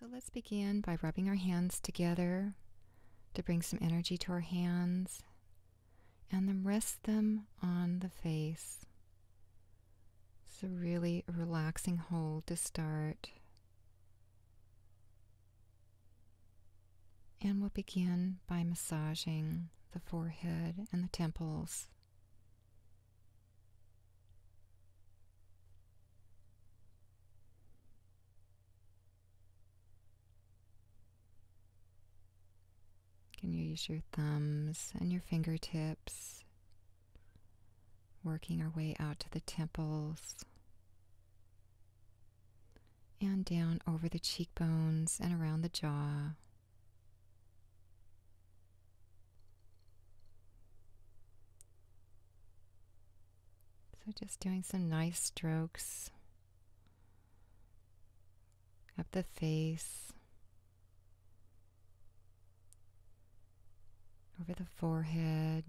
So let's begin by rubbing our hands together to bring some energy to our hands and then rest them on the face. It's a really relaxing hold to start. And we'll begin by massaging the forehead and the temples. Can you use your thumbs and your fingertips working our way out to the temples and down over the cheekbones and around the jaw. So, just doing some nice strokes up the face over the forehead.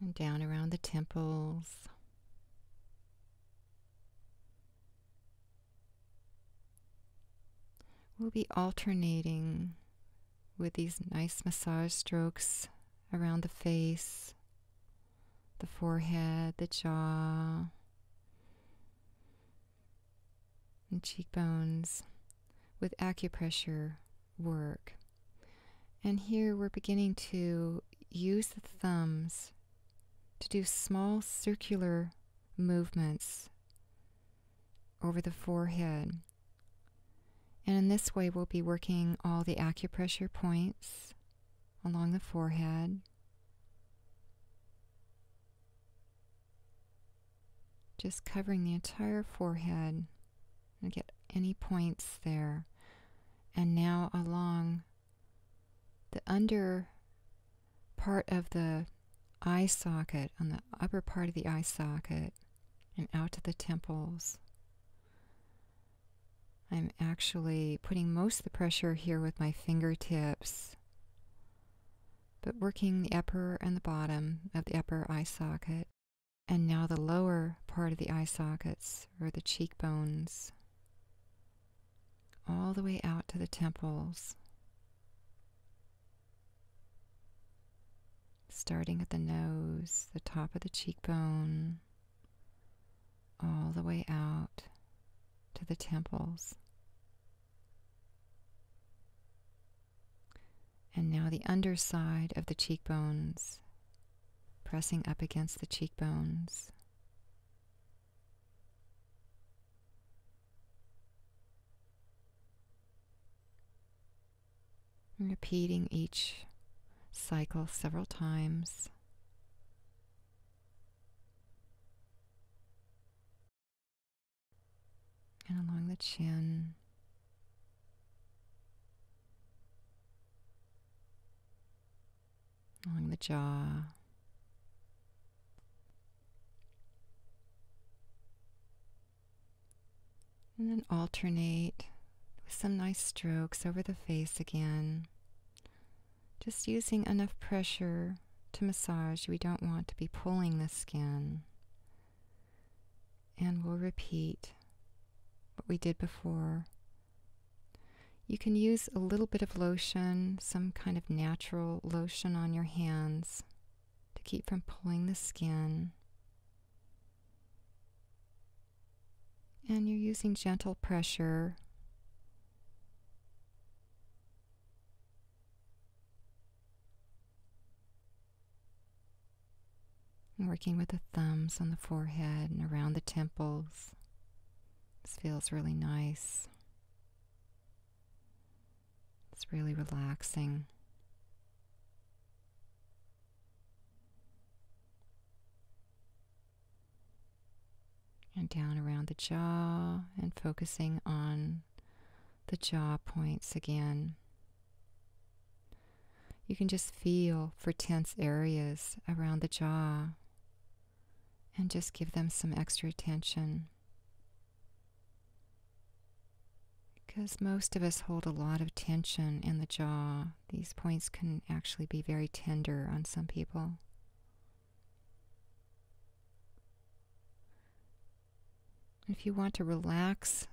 And down around the temples. We'll be alternating with these nice massage strokes around the face the forehead, the jaw, and cheekbones with acupressure work. And here we're beginning to use the thumbs to do small circular movements over the forehead. And in this way, we'll be working all the acupressure points along the forehead. Just covering the entire forehead and get any points there. And now along the under part of the eye socket, on the upper part of the eye socket, and out to the temples. I'm actually putting most of the pressure here with my fingertips, but working the upper and the bottom of the upper eye socket, and now the lower part of the eye sockets or the cheekbones, all the way out to the temples. Starting at the nose, the top of the cheekbone, all the way out to the temples. And now the underside of the cheekbones, pressing up against the cheekbones. repeating each cycle several times and along the chin. Along the jaw. And then alternate with some nice strokes over the face again. Just using enough pressure to massage. We don't want to be pulling the skin. And we'll repeat what we did before. You can use a little bit of lotion, some kind of natural lotion on your hands to keep from pulling the skin. And you're using gentle pressure Working with the thumbs on the forehead and around the temples. This feels really nice. It's really relaxing and down around the jaw, and focusing on the jaw points again. You can just feel for tense areas around the jaw and just give them some extra attention. Because most of us hold a lot of tension in the jaw, these points can actually be very tender on some people. If you want to relax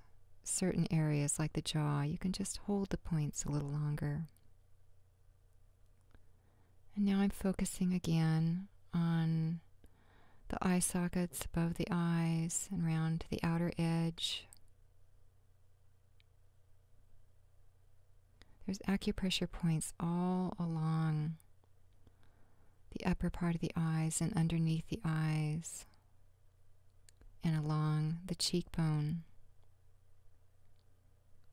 certain areas like the jaw, you can just hold the points a little longer. And now I'm focusing again on the eye sockets above the eyes and round the outer edge. There's acupressure points all along the upper part of the eyes and underneath the eyes and along the cheekbone.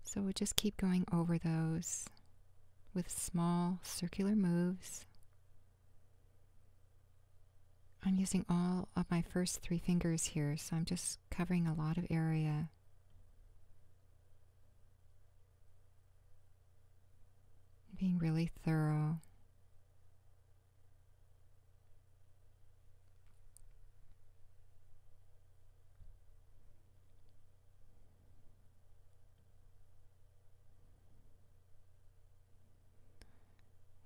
So we'll just keep going over those with small circular moves. I'm using all of my first three fingers here, so I'm just covering a lot of area. Being really thorough.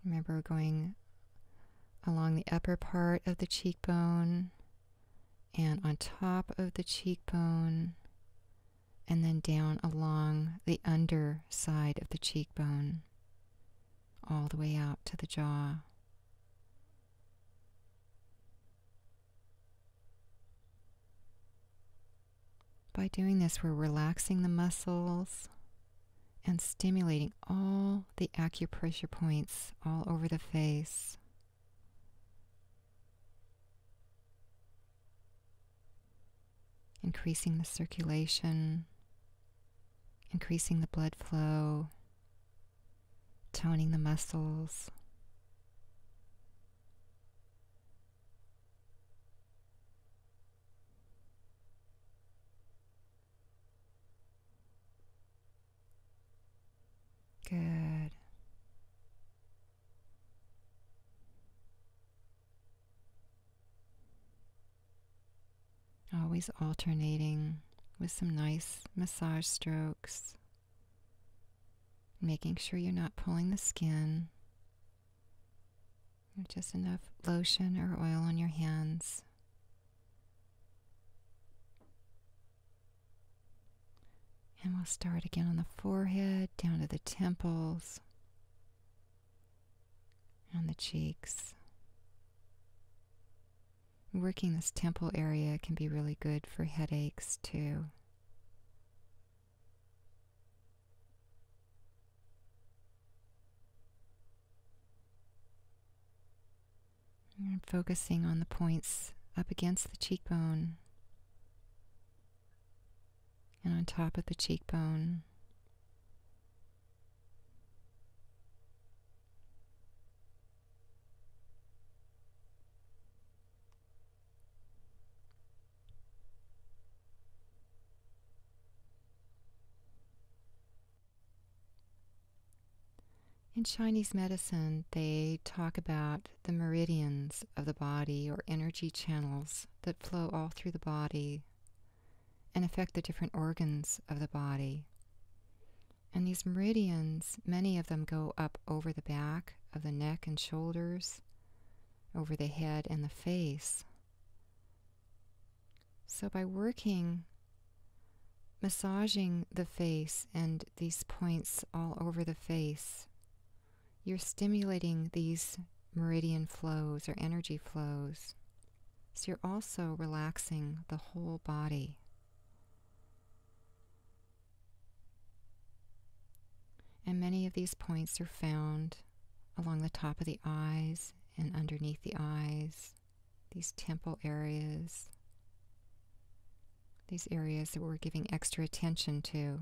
Remember going along the upper part of the cheekbone and on top of the cheekbone, and then down along the underside of the cheekbone, all the way out to the jaw. By doing this, we're relaxing the muscles and stimulating all the acupressure points all over the face increasing the circulation, increasing the blood flow, toning the muscles. Good. Always alternating with some nice massage strokes, making sure you're not pulling the skin. Just enough lotion or oil on your hands. And we'll start again on the forehead, down to the temples, and the cheeks. Working this temple area can be really good for headaches too. And focusing on the points up against the cheekbone and on top of the cheekbone. In Chinese medicine, they talk about the meridians of the body or energy channels that flow all through the body and affect the different organs of the body. And these meridians, many of them go up over the back of the neck and shoulders, over the head and the face. So by working massaging the face and these points all over the face, you're stimulating these meridian flows or energy flows. So you're also relaxing the whole body. And many of these points are found along the top of the eyes and underneath the eyes, these temple areas, these areas that we're giving extra attention to.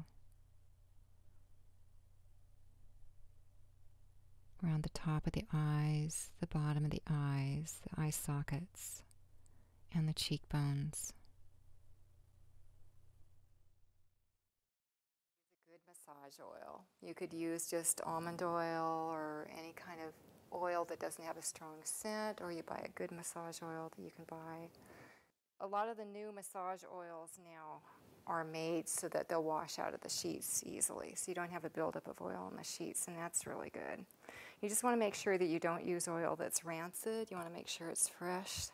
Around the top of the eyes, the bottom of the eyes, the eye sockets, and the cheekbones. good massage oil. You could use just almond oil or any kind of oil that doesn't have a strong scent, or you buy a good massage oil that you can buy. A lot of the new massage oils now are made so that they'll wash out of the sheets easily, so you don't have a buildup of oil on the sheets, and that's really good. You just want to make sure that you don't use oil that's rancid. You want to make sure it's fresh.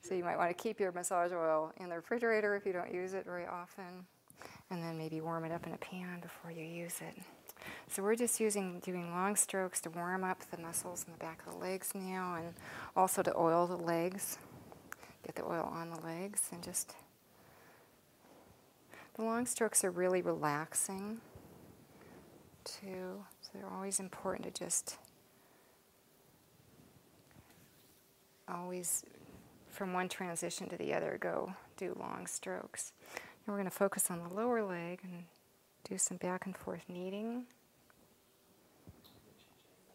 So you might want to keep your massage oil in the refrigerator if you don't use it very often, and then maybe warm it up in a pan before you use it so we're just using doing long strokes to warm up the muscles in the back of the legs now and also to oil the legs. Get the oil on the legs and just the long strokes are really relaxing too. So they're always important to just always from one transition to the other go do long strokes. we're going to focus on the lower leg and do some back and forth kneading.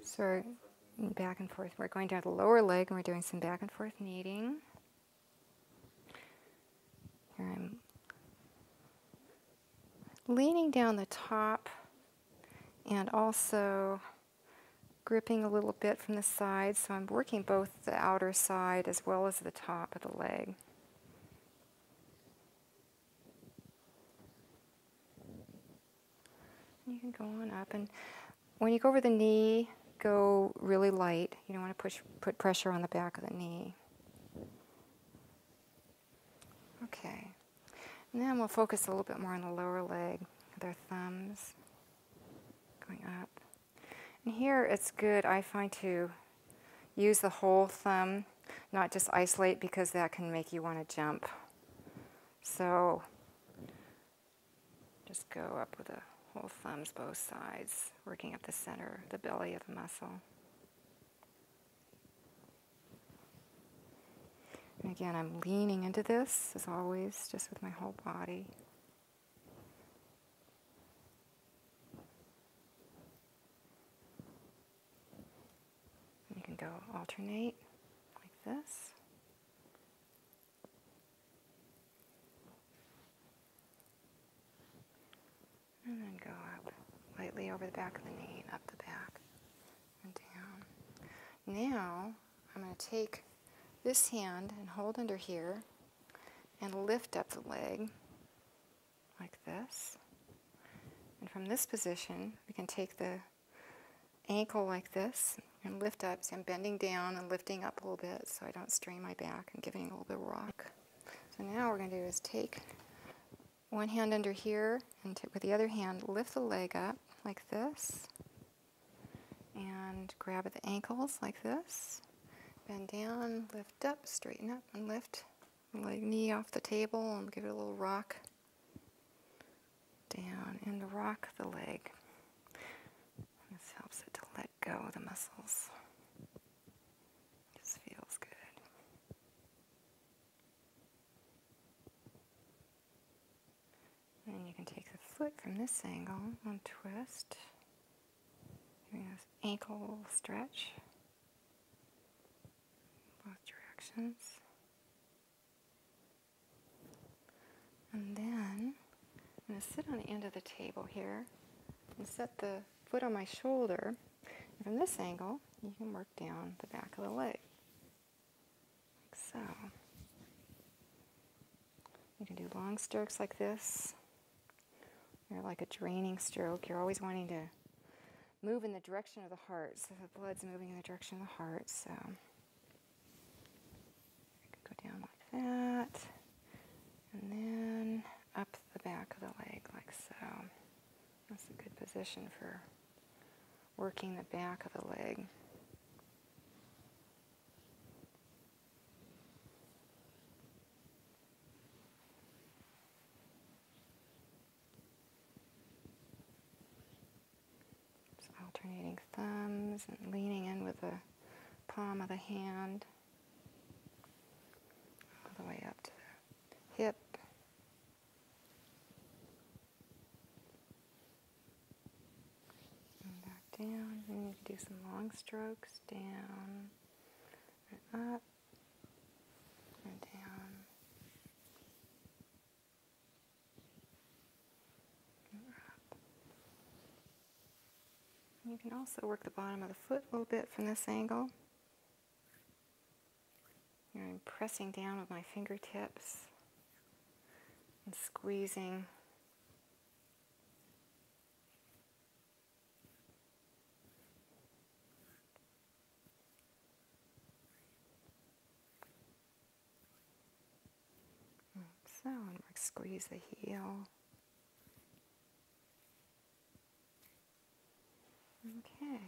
So back and forth, we're going down the lower leg and we're doing some back and forth kneading. Here I'm leaning down the top and also gripping a little bit from the side. So I'm working both the outer side as well as the top of the leg. You can go on up, and when you go over the knee, go really light. You don't want to push, put pressure on the back of the knee. Okay, and then we'll focus a little bit more on the lower leg, their thumbs going up. And here it's good, I find, to Use the whole thumb, not just isolate because that can make you want to jump. So just go up with the whole thumbs, both sides, working up the center, the belly of the muscle. And again, I'm leaning into this, as always, just with my whole body. You can go alternate like this. And then go up lightly over the back of the knee, up the back, and down. Now, I'm going to take this hand and hold under here and lift up the leg like this. And from this position, we can take the ankle like this and lift up. So I'm bending down and lifting up a little bit so I don't strain my back and giving a little bit of rock. So now what we're going to do is take one hand under here and with the other hand lift the leg up like this and grab the ankles like this. Bend down, lift up, straighten up, and lift leg knee off the table and give it a little rock. Down and rock the leg. This helps it to let go of the muscles. This feels good. Then you can take the foot from this angle and twist. Giving this ankle stretch both directions. And then I'm going to sit on the end of the table here and set the foot on my shoulder. from this angle, you can work down the back of the leg, like so. You can do long strokes like this. You're like a draining stroke. You're always wanting to move in the direction of the heart. So the blood's moving in the direction of the heart. So I could go down like that. And then up the back of the leg like so. That's a good position for working the back of the leg. So alternating thumbs and leaning in with the palm of the hand, all the way up to the hip. And back down. And you can do some long strokes down and up or down or up. And you can also work the bottom of the foot a little bit from this angle. I'm pressing down with my fingertips and squeezing so, squeeze the heel. Okay.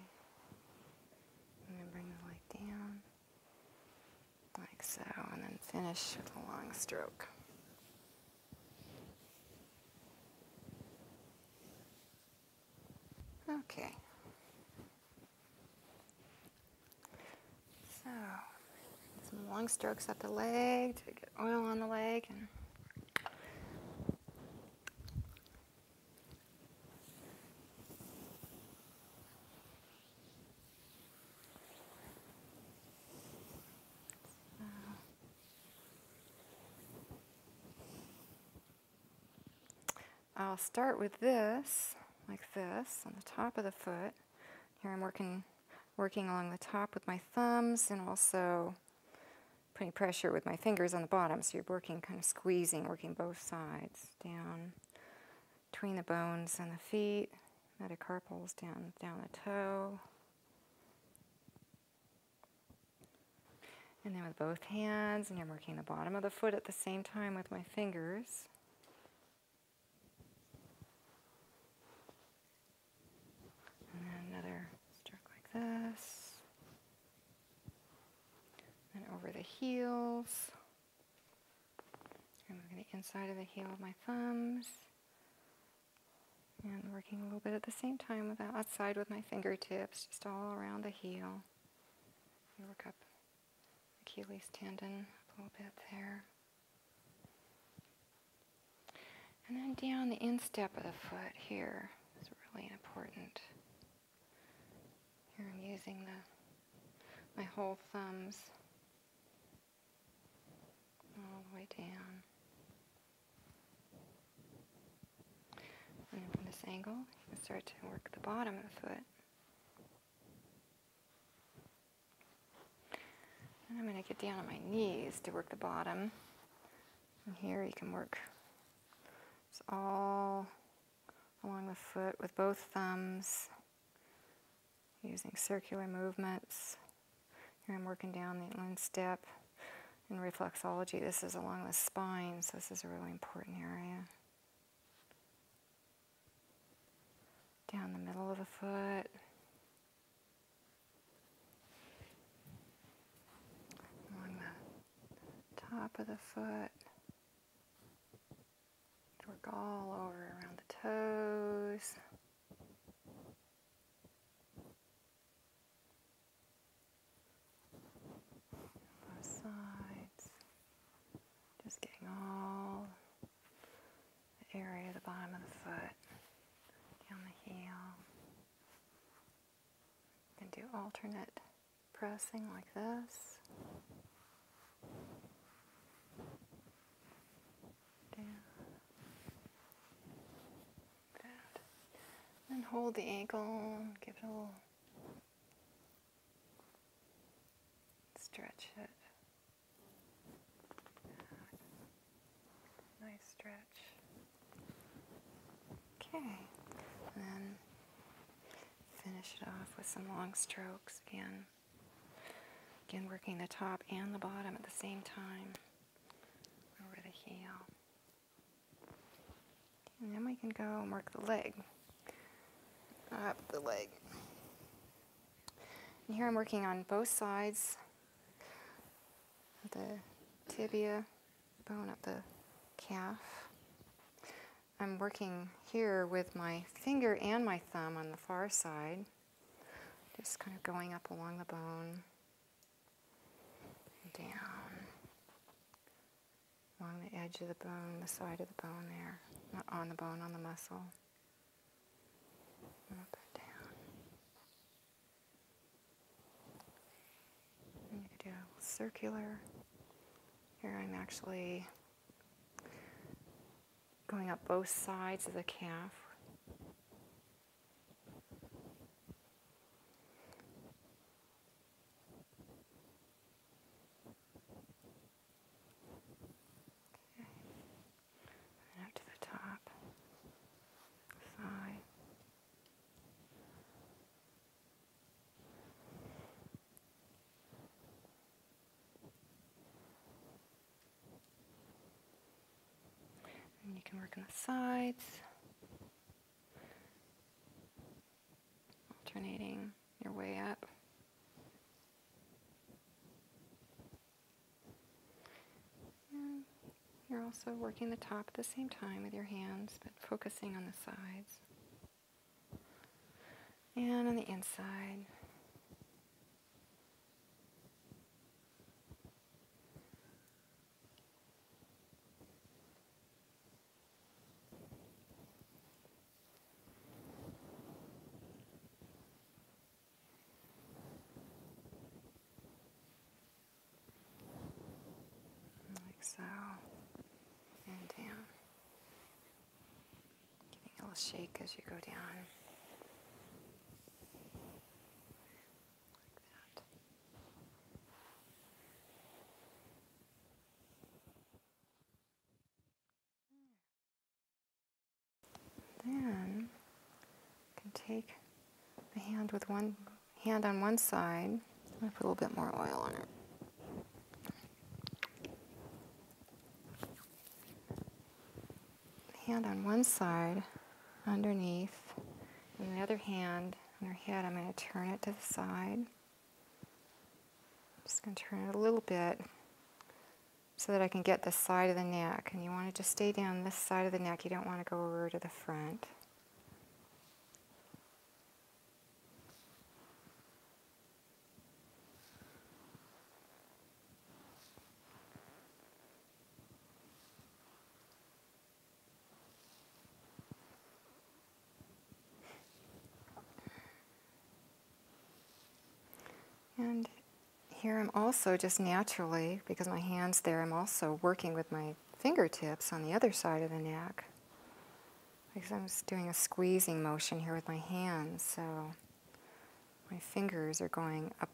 I'm going to bring the leg down like so, and then finish with a long stroke. Okay. So, some long strokes up the leg to get oil on the leg. And I'll start with this, like this, on the top of the foot. Here I'm working, working along the top with my thumbs and also putting pressure with my fingers on the bottom. So you're working, kind of squeezing, working both sides down between the bones and the feet, metacarpals down, down the toe. And then with both hands, and I'm working the bottom of the foot at the same time with my fingers. And then another stroke like this. And over the heels. and am the inside of the heel of my thumbs. And a little bit at the same time outside with my fingertips, just all around the heel. work up Achilles tendon a little bit there. And then down the instep of the foot here is really important. Here I'm using the my whole thumbs all the way down. And from this angle, you can start to work the bottom of the foot. And I'm going to get down on my knees to work the bottom. here you can work all along the foot with both thumbs, using circular movements. Here I'm working down the inline step in reflexology, this is along the spine, so this is a really important area. Down the middle of the foot. Along the top of the foot. Work all over around the toes both sides, just getting all the area of the bottom of the foot, down the heel. You do alternate pressing like this. Down. And hold the ankle, give it a little stretch it. Nice stretch. Okay. then finish it off with some long strokes again. Again, working the top and the bottom at the same time over the heel. And then we can go and work the leg. Up the leg. here I'm working on both sides the tibia bone up the calf. I'm working here with my finger and my thumb on the far side, just kind of going up along the bone down along the edge of the bone, the side of the bone there, not on the bone, on the muscle. Up and down. you could do a circular. Here I'm actually going up both sides of the calf up to the top, thigh. And you can work on the sides alternating your way up. you're also working the top at the same time with your hands, but focusing on the sides. And on the inside, like so, and down. Giving a little shake as you go down. Then can take the hand with one hand on one side. i put a little bit more oil on it. Hand on one side underneath, and the other hand on head. I'm going to turn it to the side. I'm just going to turn it a little bit so that I can get the side of the neck. And you want to just stay down this side of the neck. You don't want to go over to the front. And here I'm also just naturally, because my hand's there, I'm also working with my fingertips on the other side of the neck. Because I'm just doing a squeezing motion here with my hands, so my fingers are going up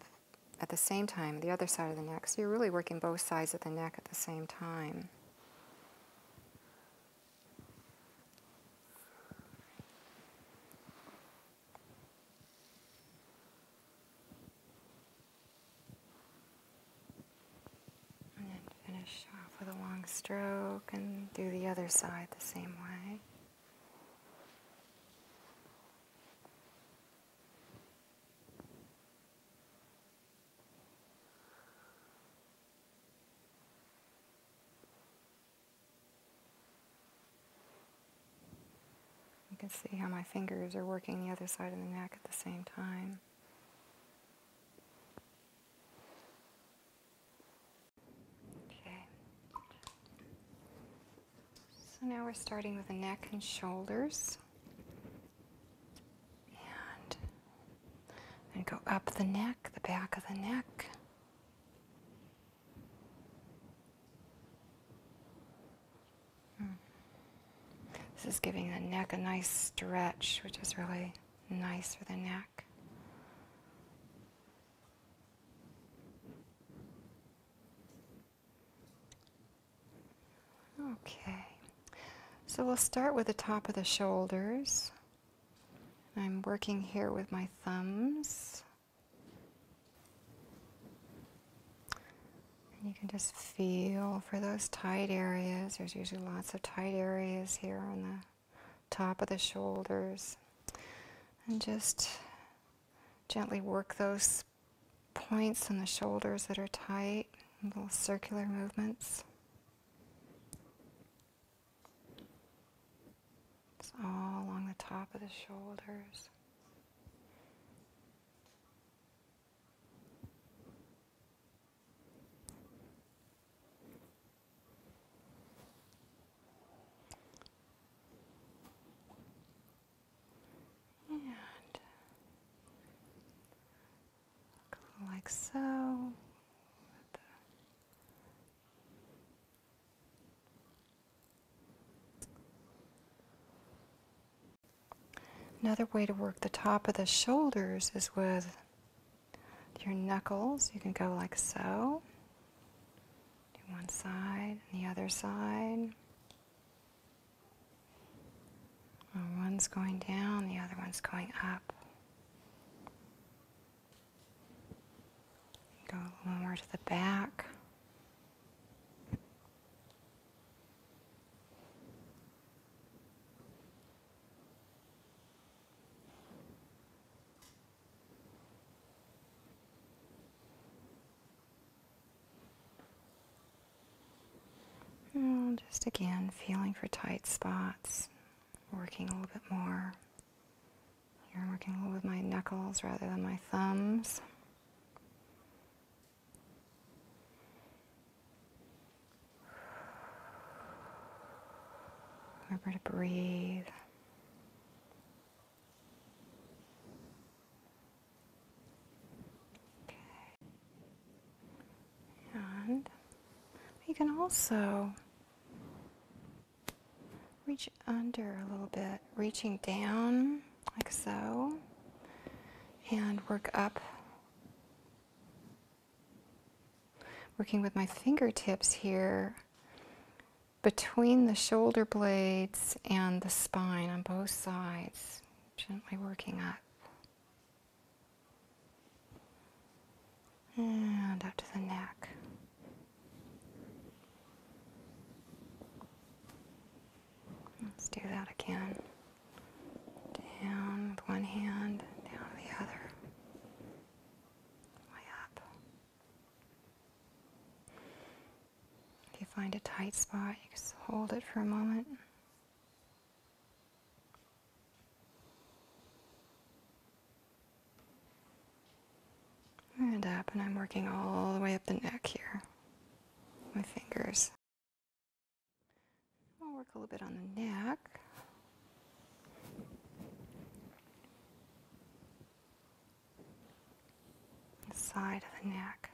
at the same time, the other side of the neck. So you're really working both sides of the neck at the same time. And then finish off with a long stroke and do the other side the same way. You can see how my fingers are working the other side of the neck at the same time. Okay. So now we're starting with the neck and shoulders. And go up the neck, the back of the neck. Hmm. This is giving the neck a nice stretch, which is really nice for the neck. Okay, so we'll start with the top of the shoulders. I'm working here with my thumbs. you can just feel for those tight areas. There's usually lots of tight areas here on the top of the shoulders. And just gently work those points on the shoulders that are tight, little circular movements. It's all along the top of the shoulders. And like so. Another way to work the top of the shoulders is with your knuckles. You can go like so. Do one side and the other side one's going down, the other one's going up. Go a little more to the back. Oh, just again, feeling for tight spots, working a little bit more. I'm working with my knuckles rather than my thumbs. Remember to breathe you can also reach under a little bit, reaching down like so, and work up. Working with my fingertips here between the shoulder blades and the spine on both sides, gently working up. And up to the neck. Let's do that again. Down with one hand, down the other. Way up. If you find a tight spot, you just hold it for a moment. And up, and I'm working all the way up the neck here. My fingers. I'll work a little bit on the neck. The side of the neck.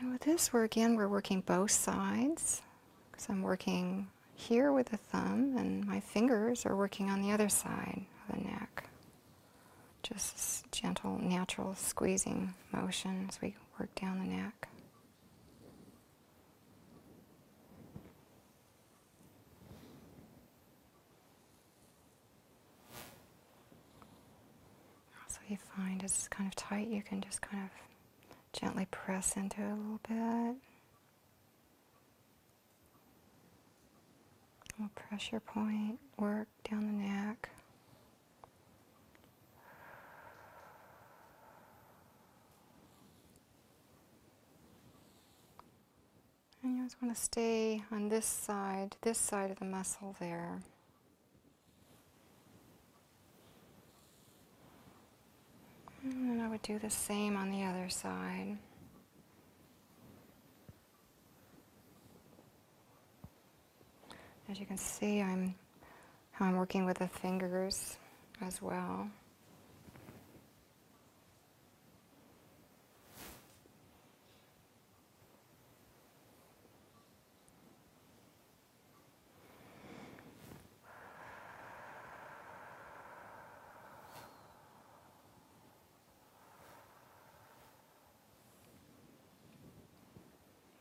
And with this, we're again, we're working both sides because I'm working here with the thumb and my fingers are working on the other side of the neck. Just gentle, natural squeezing motion as we work down the neck. So you find as it's kind of tight, you can just kind of Gently press into it a little bit. pressure point work down the neck. And you always want to stay on this side, this side of the muscle there. And I would do the same on the other side. As you can see, I'm I'm working with the fingers as well.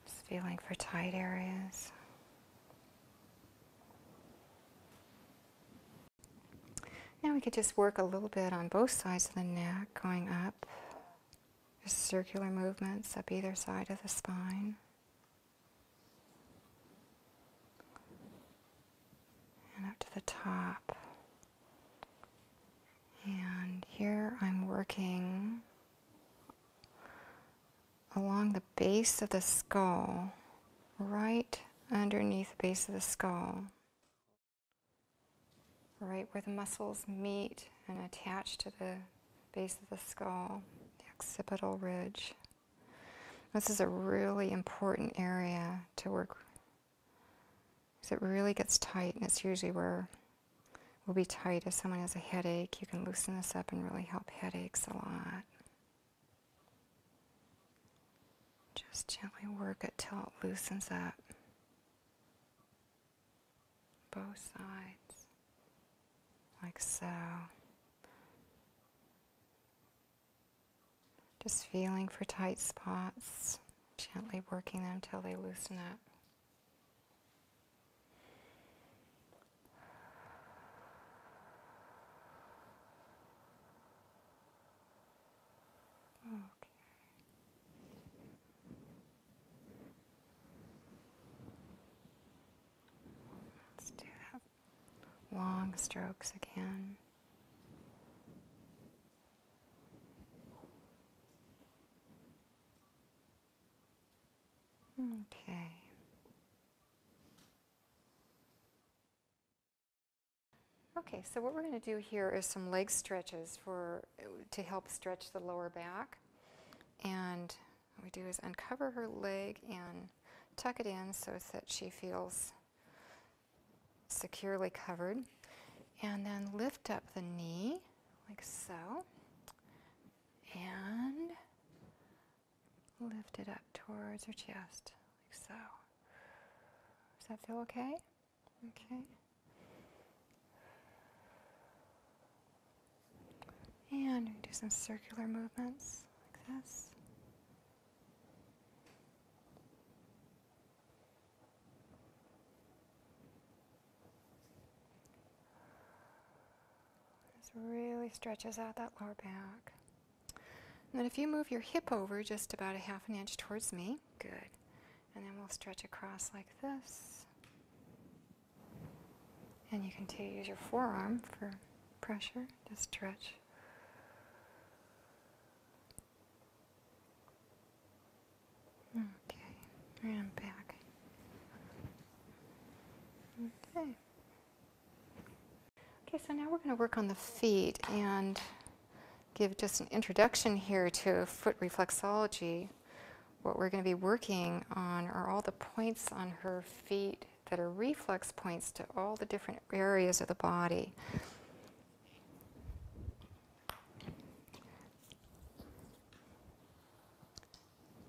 Just feeling for tight areas. Now we could just work a little bit on both sides of the neck, going up there's circular movements up either side of the spine. And up to the top. And here I'm working along the base of the skull, right underneath the base of the skull, right where the muscles meet and attach to the base of the skull, the occipital ridge. This is a really important area to work because it really gets tight, and it's usually where will be tight. If someone has a headache, you can loosen this up and really help headaches a lot. Just gently work it till it loosens up both sides, like so. Just feeling for tight spots, gently working them until they loosen up. Okay. Let's do that. Long strokes again. Okay. Okay, so what we're going to do here is some leg stretches for to help stretch the lower back and what we do is uncover her leg and tuck it in so that she feels securely covered. And then lift up the knee, like so. And lift it up towards her chest, like so. Does that feel okay? Okay. And we do some circular movements like this. This really stretches out that lower back. then if you move your hip over just about a half an inch towards me, good. And then we'll stretch across like this. And you can to use your forearm for pressure to stretch. Okay, and back. Okay. Okay, so now we're going to work on the feet and give just an introduction here to foot reflexology what we're going to be working on are all the points on her feet that are reflex points to all the different areas of the body.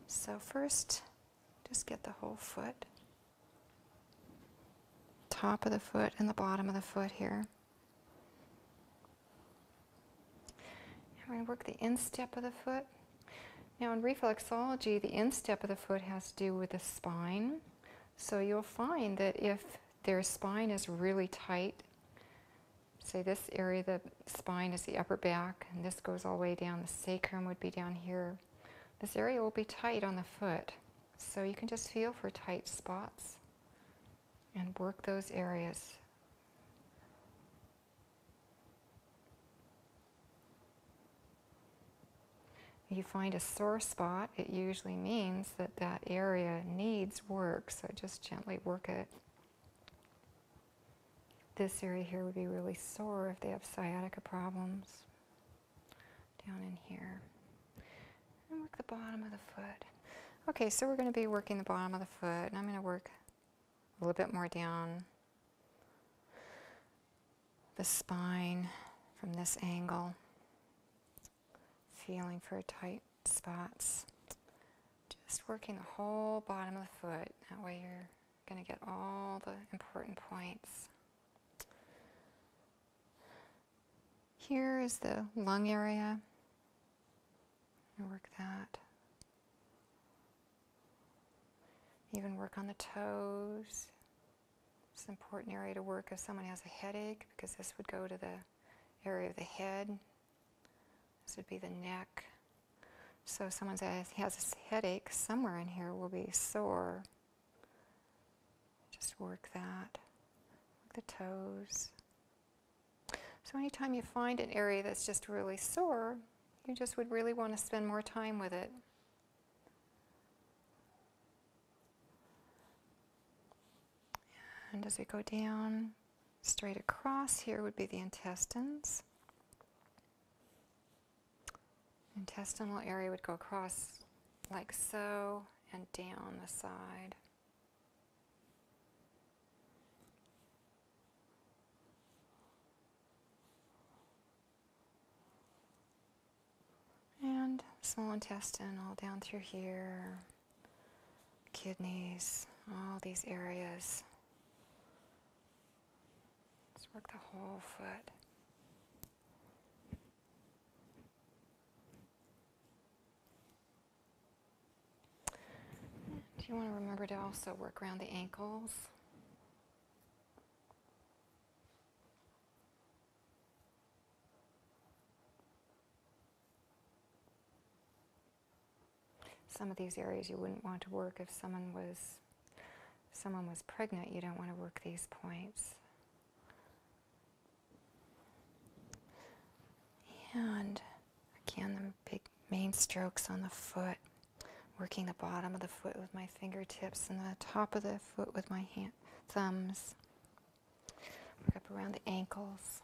So first, just get the whole foot, top of the foot and the bottom of the foot here. we're going to work the instep of the foot. Now in reflexology, the instep of the foot has to do with the spine. So you'll find that if their spine is really tight, say this area the spine is the upper back, and this goes all the way down, the sacrum would be down here. This area will be tight on the foot. So you can just feel for tight spots and work those areas you find a sore spot, it usually means that that area needs work, so just gently work it. This area here would be really sore if they have sciatica problems. Down in here. And work the bottom of the foot. Okay, so we're going to be working the bottom of the foot, and I'm going to work a little bit more down the spine from this angle, feeling for tight spots. Just working the whole bottom of the foot, that way you're going to get all the important points. Here is the lung area. Work that even work on the toes. It's an important area to work if someone has a headache because this would go to the area of the head. This would be the neck. So if someone has a headache, somewhere in here will be sore. Just work that. Work the toes. So anytime you find an area that's just really sore, you just would really want to spend more time with it. And as we go down, straight across here would be the intestines. Intestinal area would go across like so and down the side. And small intestine all down through here, kidneys, all these areas. let work the whole foot. Do you want to remember to also work around the ankles some of these areas you wouldn't want to work if someone was someone was pregnant, you don't want to work these points. And again, big main strokes on the foot, working the bottom of the foot with my fingertips and the top of the foot with my hand, thumbs. Work up around the ankles.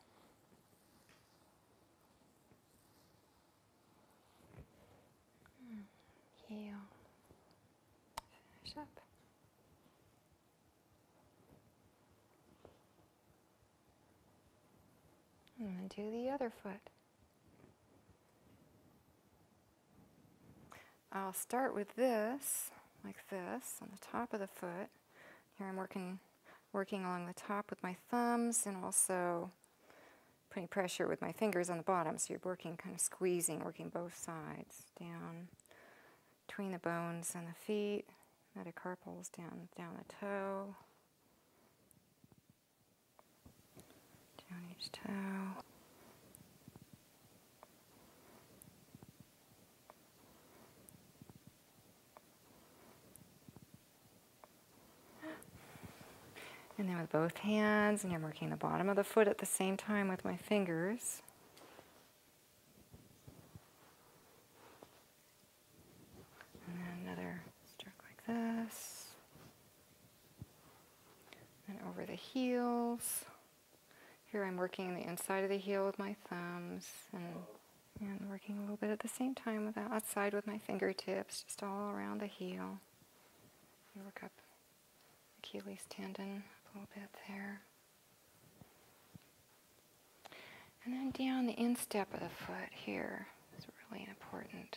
Hmm, heel. Finish up. And do the other foot. I'll start with this, like this, on the top of the foot. Here I'm working, working along the top with my thumbs and also putting pressure with my fingers on the bottom. So you're working, kind of squeezing, working both sides down between the bones and the feet, metacarpals down, down the toe down each toe. And then with both hands, and I'm working the bottom of the foot at the same time with my fingers. And then another stroke like this. And over the heels. Here I'm working the inside of the heel with my thumbs and, and working a little bit at the same time with the outside with my fingertips, just all around the heel. And work up the Achilles tendon a little bit there. And then down the instep of the foot here is really important.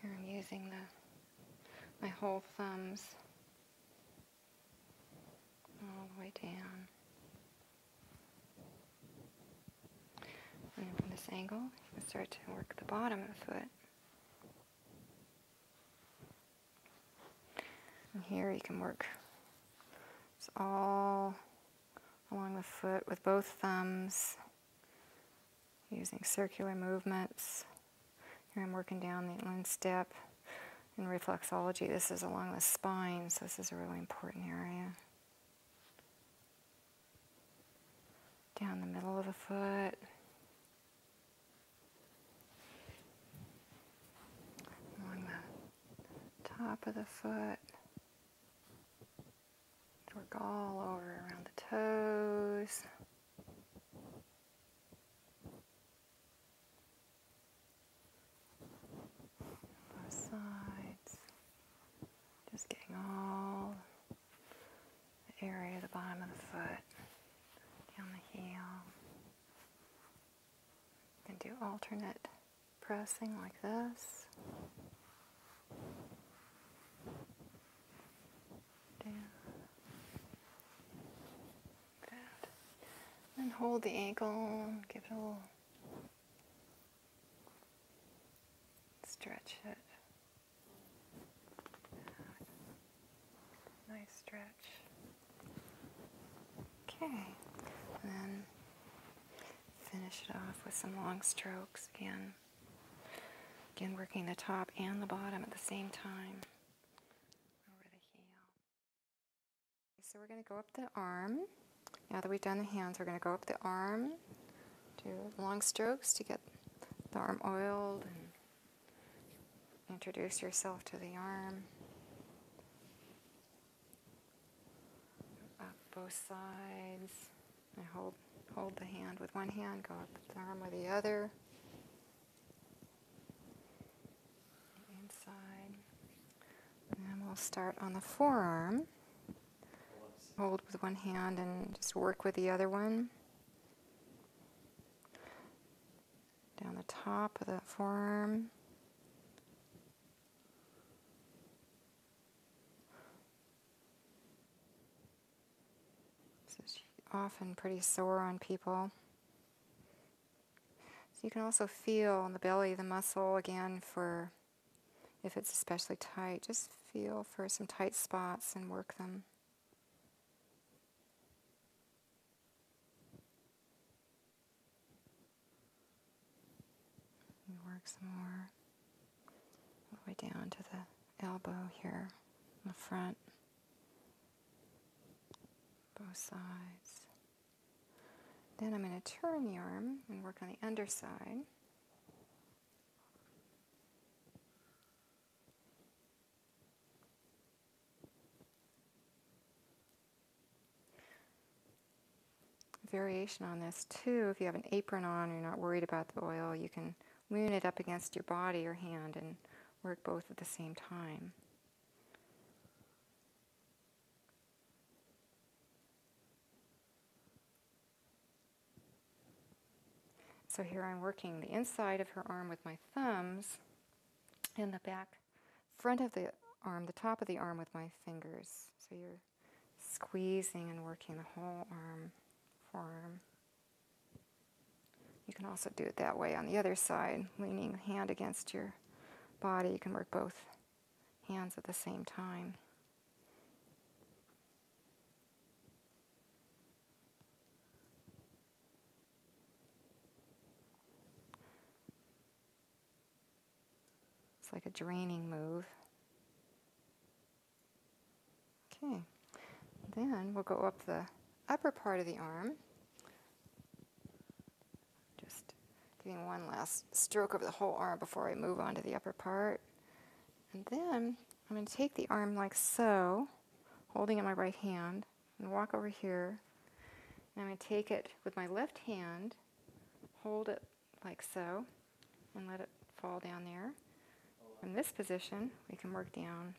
Here I'm using the my whole thumbs all the way down. And from this angle, you can start to work the bottom of the foot. And here you can work it's all along the foot with both thumbs using circular movements. Here I'm working down the inland step. In reflexology, this is along the spine, so this is a really important area. Down the middle of the foot. Along the top of the foot. Work all over around the toes. Both sides. Just getting all the area of the bottom of the foot, down the heel. And do alternate pressing like this. Down. Good. Then hold the ankle, give it a little stretch it. Nice stretch. Okay. And then finish it off with some long strokes again. Again, working the top and the bottom at the same time. Over the heel. So we're going to go up the arm. Now that we've done the hands, we're going to go up the arm, do long strokes to get the arm oiled and introduce yourself to the arm. both sides. I hold, hold the hand with one hand, go up the arm with the other. Inside. And we'll start on the forearm. Hold with one hand and just work with the other one. Down the top of that forearm. So she's often pretty sore on people. So you can also feel in the belly, the muscle again for, if it's especially tight, just feel for some tight spots and work them. Work some more all the way down to the elbow here in the front, both sides. Then I'm going to turn the arm and work on the underside variation on this too. If you have an apron on, you're not worried about the oil, you can lean it up against your body or hand and work both at the same time. So here I'm working the inside of her arm with my thumbs and the back front of the arm, the top of the arm with my fingers. So you're squeezing and working the whole arm, forearm. You can also do it that way on the other side, leaning hand against your body. You can work both hands at the same time. It's like a draining move. Okay, then we'll go up the upper part of the arm. Just giving one last stroke of the whole arm before I move on to the upper part. And then I'm going to take the arm like so, holding it my right hand, and walk over here. And I'm going to take it with my left hand, hold it like so, and let it fall down there. From this position, we can work down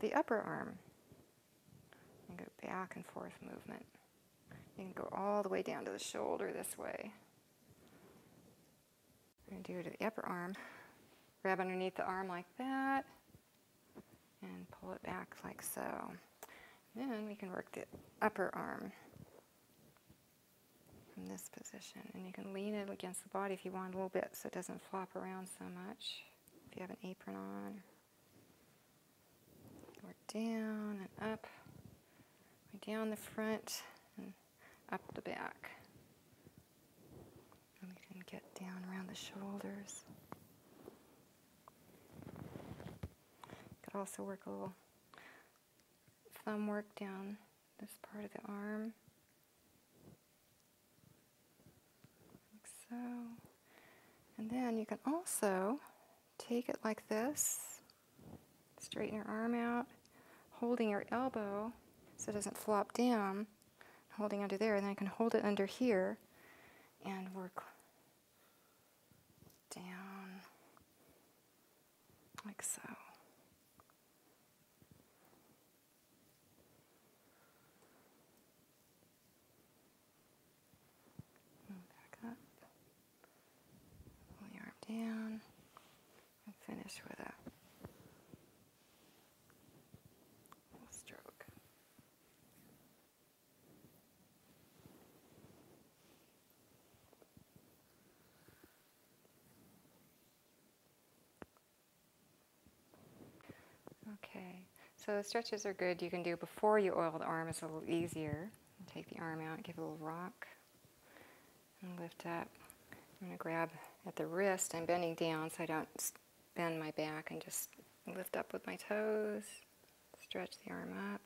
the upper arm and go back and forth movement. You can go all the way down to the shoulder this way. we going to do it to the upper arm. Grab underneath the arm like that and pull it back like so. Then we can work the upper arm from this position. And you can lean it against the body if you want a little bit so it doesn't flop around so much. If you have an apron on, or down and up, or down the front and up the back. And we can get down around the shoulders. You could also work a little thumb work down this part of the arm. Like so. And then you can also take it like this, straighten your arm out, holding your elbow so it doesn't flop down, holding under there, and then I can hold it under here and work down like so. And back up, pull your arm down, and finish with a little stroke. Okay, so the stretches are good. You can do before you oil the arm, is a little easier. Take the arm out, give it a little rock, and lift up. I'm going to grab at the wrist. I'm bending down so I don't bend my back and just lift up with my toes, stretch the arm up,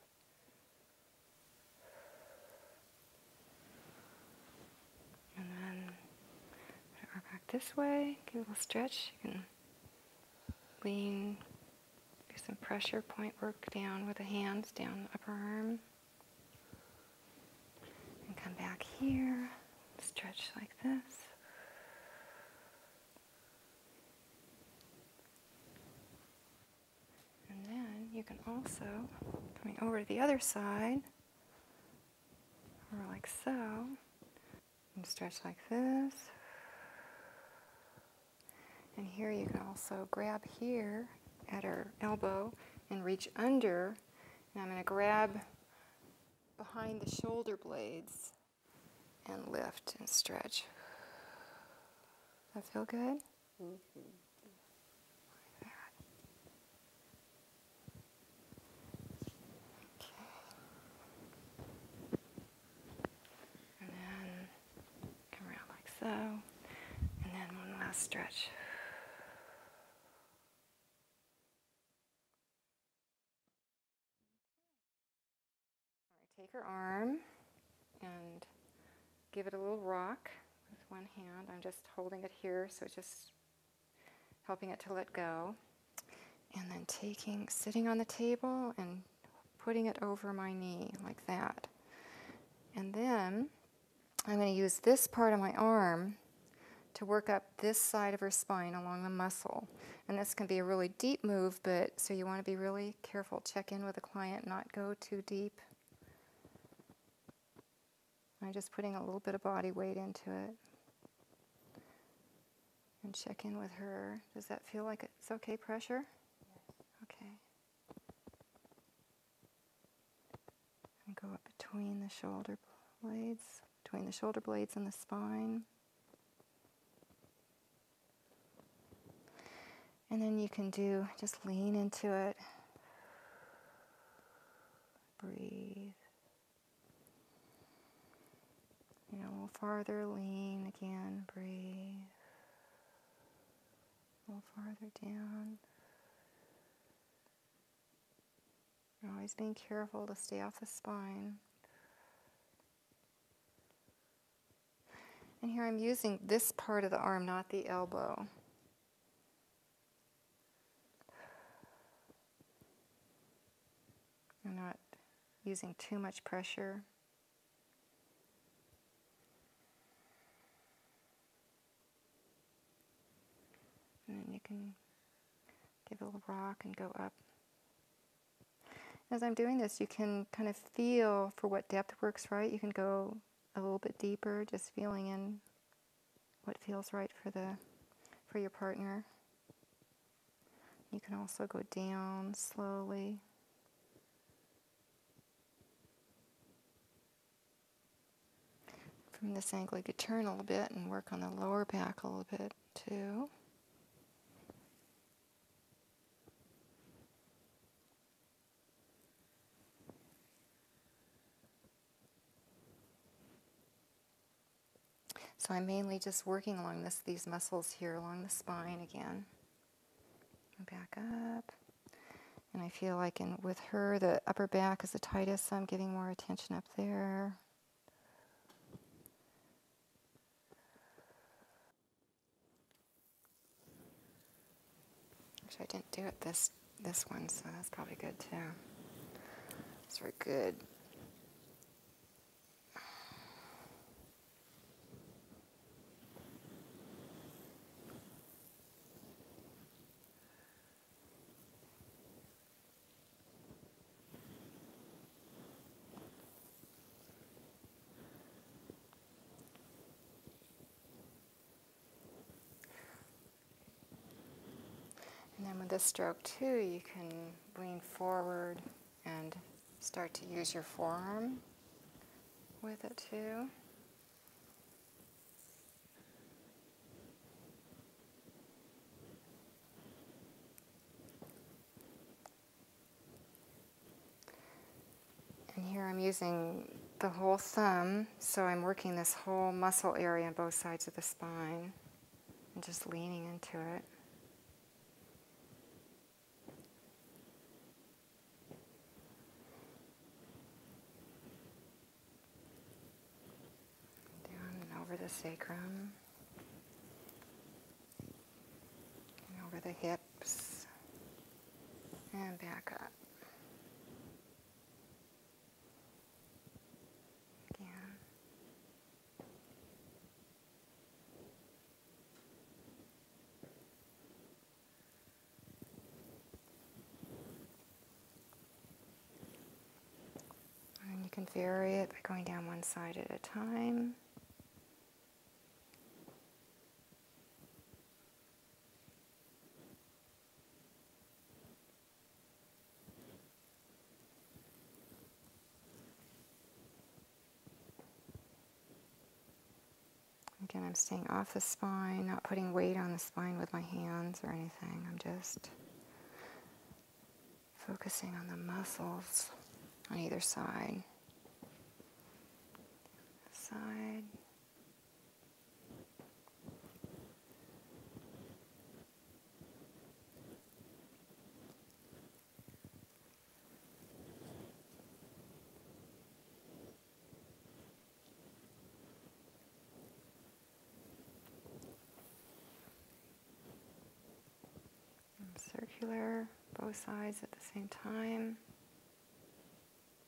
and then our back this way, give a little stretch. You can lean, do some pressure point work down with the hands, down the upper arm. And come back here, stretch like this. And then you can also, coming over to the other side, or like so, and stretch like this. And here you can also grab here at her elbow and reach under. And I'm going to grab behind the shoulder blades and lift and stretch. That feel good? And then come around like so. And then one last stretch. Take her arm and give it a little rock with one hand. I'm just holding it here, so just helping it to let go. And then taking, sitting on the table and putting it over my knee like that. And then I'm going to use this part of my arm to work up this side of her spine along the muscle. And this can be a really deep move, but so you want to be really careful. Check in with the client, not go too deep. I'm just putting a little bit of body weight into it. And check in with her. Does that feel like it's okay pressure? Yes. Okay. And go up between the shoulder blades, between the shoulder blades and the spine. And then you can do, just lean into it. Breathe. You know, a little farther, lean again, breathe. A little farther down. always being careful to stay off the spine. And here I'm using this part of the arm, not the elbow. You're not using too much pressure. And then you can give a little rock and go up. As I'm doing this, you can kind of feel for what depth works right. You can go a little bit deeper, just feeling in what feels right for the for your partner. You can also go down slowly. From this angle, you could turn a little bit and work on the lower back a little bit too. So I'm mainly just working along this, these muscles here along the spine again. Back up. And I feel like in, with her, the upper back is the tightest, so I'm giving more attention up there. Actually, I didn't do it this this one, so that's probably good too. Those were good. And then with this stroke too, you can lean forward and start to use your forearm with it too. And here I'm using the whole thumb so I'm working this whole muscle area on both sides of the spine and just leaning into it. Down and over the sacrum. And over the hips. And back up. And you can vary it by going down one side at a time. Again, I'm staying off the spine, not putting weight on the spine with my hands or anything. I'm just focusing on the muscles on either side. Side circular, both sides at the same time.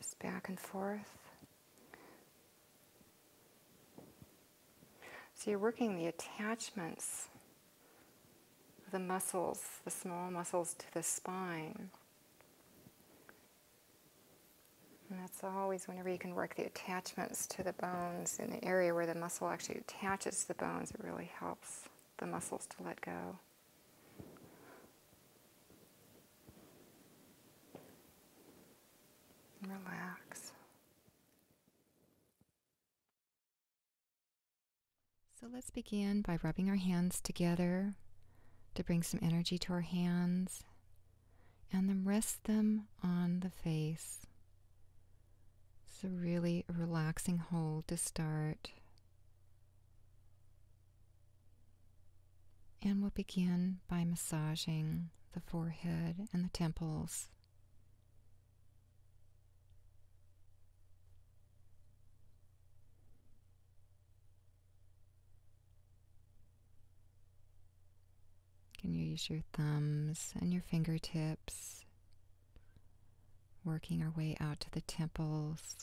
just back and forth. So you're working the attachments the muscles, the small muscles to the spine. And that's always whenever you can work the attachments to the bones in the area where the muscle actually attaches to the bones, it really helps the muscles to let go. Relax. So let's begin by rubbing our hands together to bring some energy to our hands and then rest them on the face. It's a really relaxing hold to start. And we'll begin by massaging the forehead and the temples. Can you use your thumbs and your fingertips, working our way out to the temples?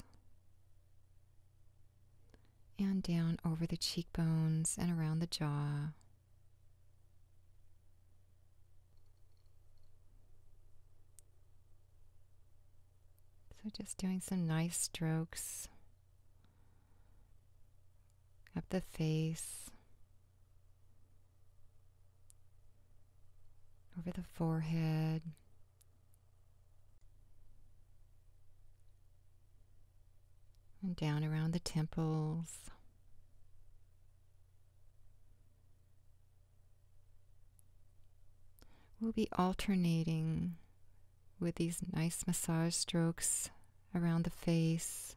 and down over the cheekbones and around the jaw. So, just doing some nice strokes up the face, over the forehead. And down around the temples. We'll be alternating with these nice massage strokes around the face,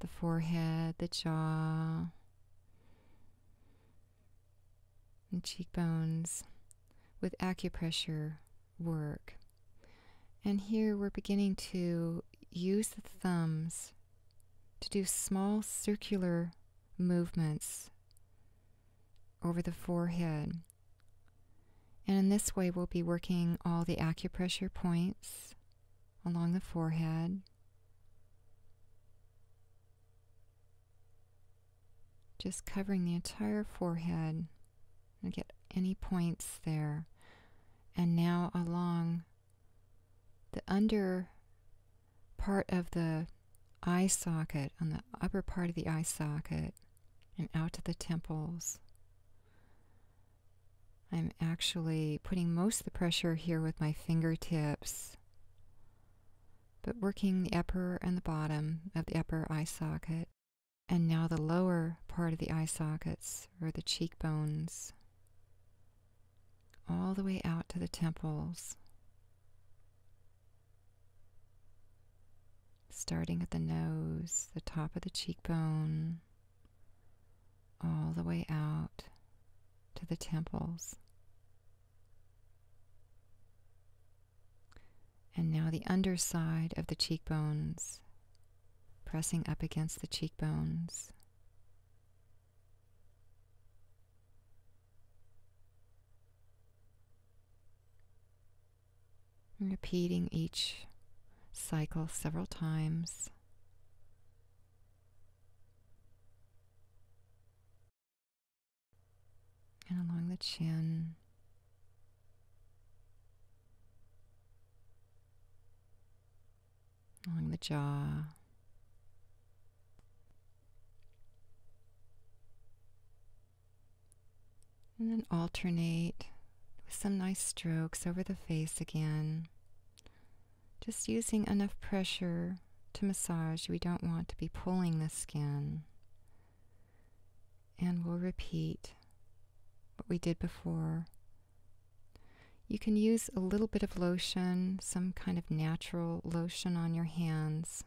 the forehead, the jaw, and cheekbones with acupressure work. And here we're beginning to use the thumbs to do small circular movements over the forehead. And in this way, we'll be working all the acupressure points along the forehead. Just covering the entire forehead and get any points there. And now along the under part of the eye socket, on the upper part of the eye socket, and out to the temples. I'm actually putting most of the pressure here with my fingertips but working the upper and the bottom of the upper eye socket, and now the lower part of the eye sockets or the cheekbones, all the way out to the temples, starting at the nose, the top of the cheekbone, all the way out to the temples. And now the underside of the cheekbones, pressing up against the cheekbones. repeating each cycle several times and along the chin. Along the jaw. And then alternate with some nice strokes over the face again. Just using enough pressure to massage. We don't want to be pulling the skin. And we'll repeat what we did before. You can use a little bit of lotion, some kind of natural lotion on your hands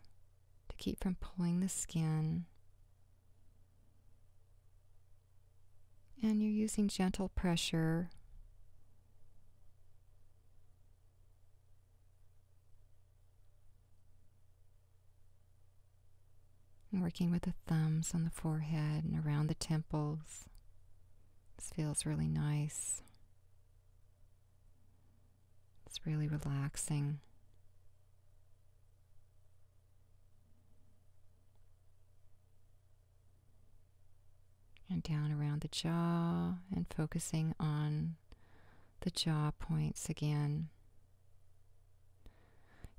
to keep from pulling the skin. And you're using gentle pressure working with the thumbs on the forehead and around the temples. This feels really nice. It's really relaxing. And down around the jaw and focusing on the jaw points again.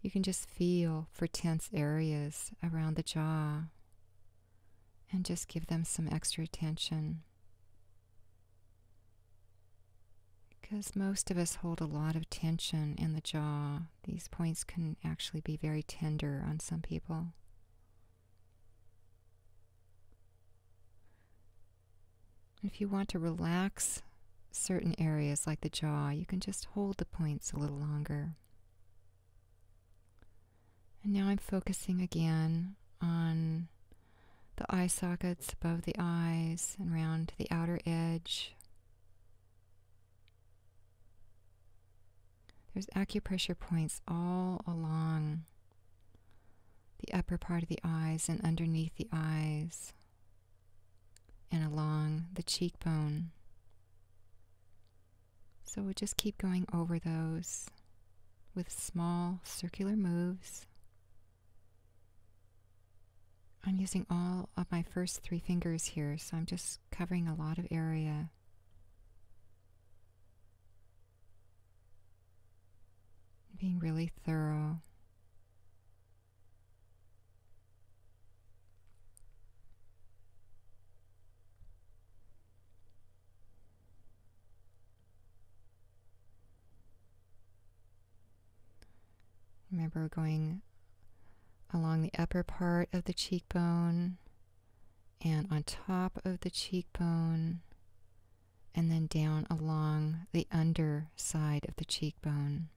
You can just feel for tense areas around the jaw and just give them some extra attention. Because most of us hold a lot of tension in the jaw, these points can actually be very tender on some people. If you want to relax certain areas like the jaw, you can just hold the points a little longer. And now I'm focusing again on the eye sockets above the eyes and round the outer edge. There's acupressure points all along the upper part of the eyes and underneath the eyes, and along the cheekbone. So we'll just keep going over those with small circular moves. I'm using all of my first three fingers here, so I'm just covering a lot of area. Being really thorough. Remember going along the upper part of the cheekbone and on top of the cheekbone and then down along the underside of the cheekbone,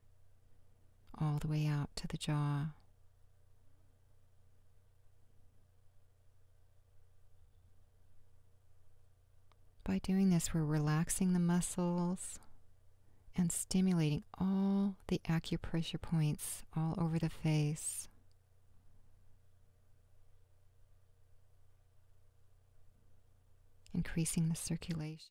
all the way out to the jaw. By doing this, we're relaxing the muscles and stimulating all the acupressure points all over the face increasing the circulation.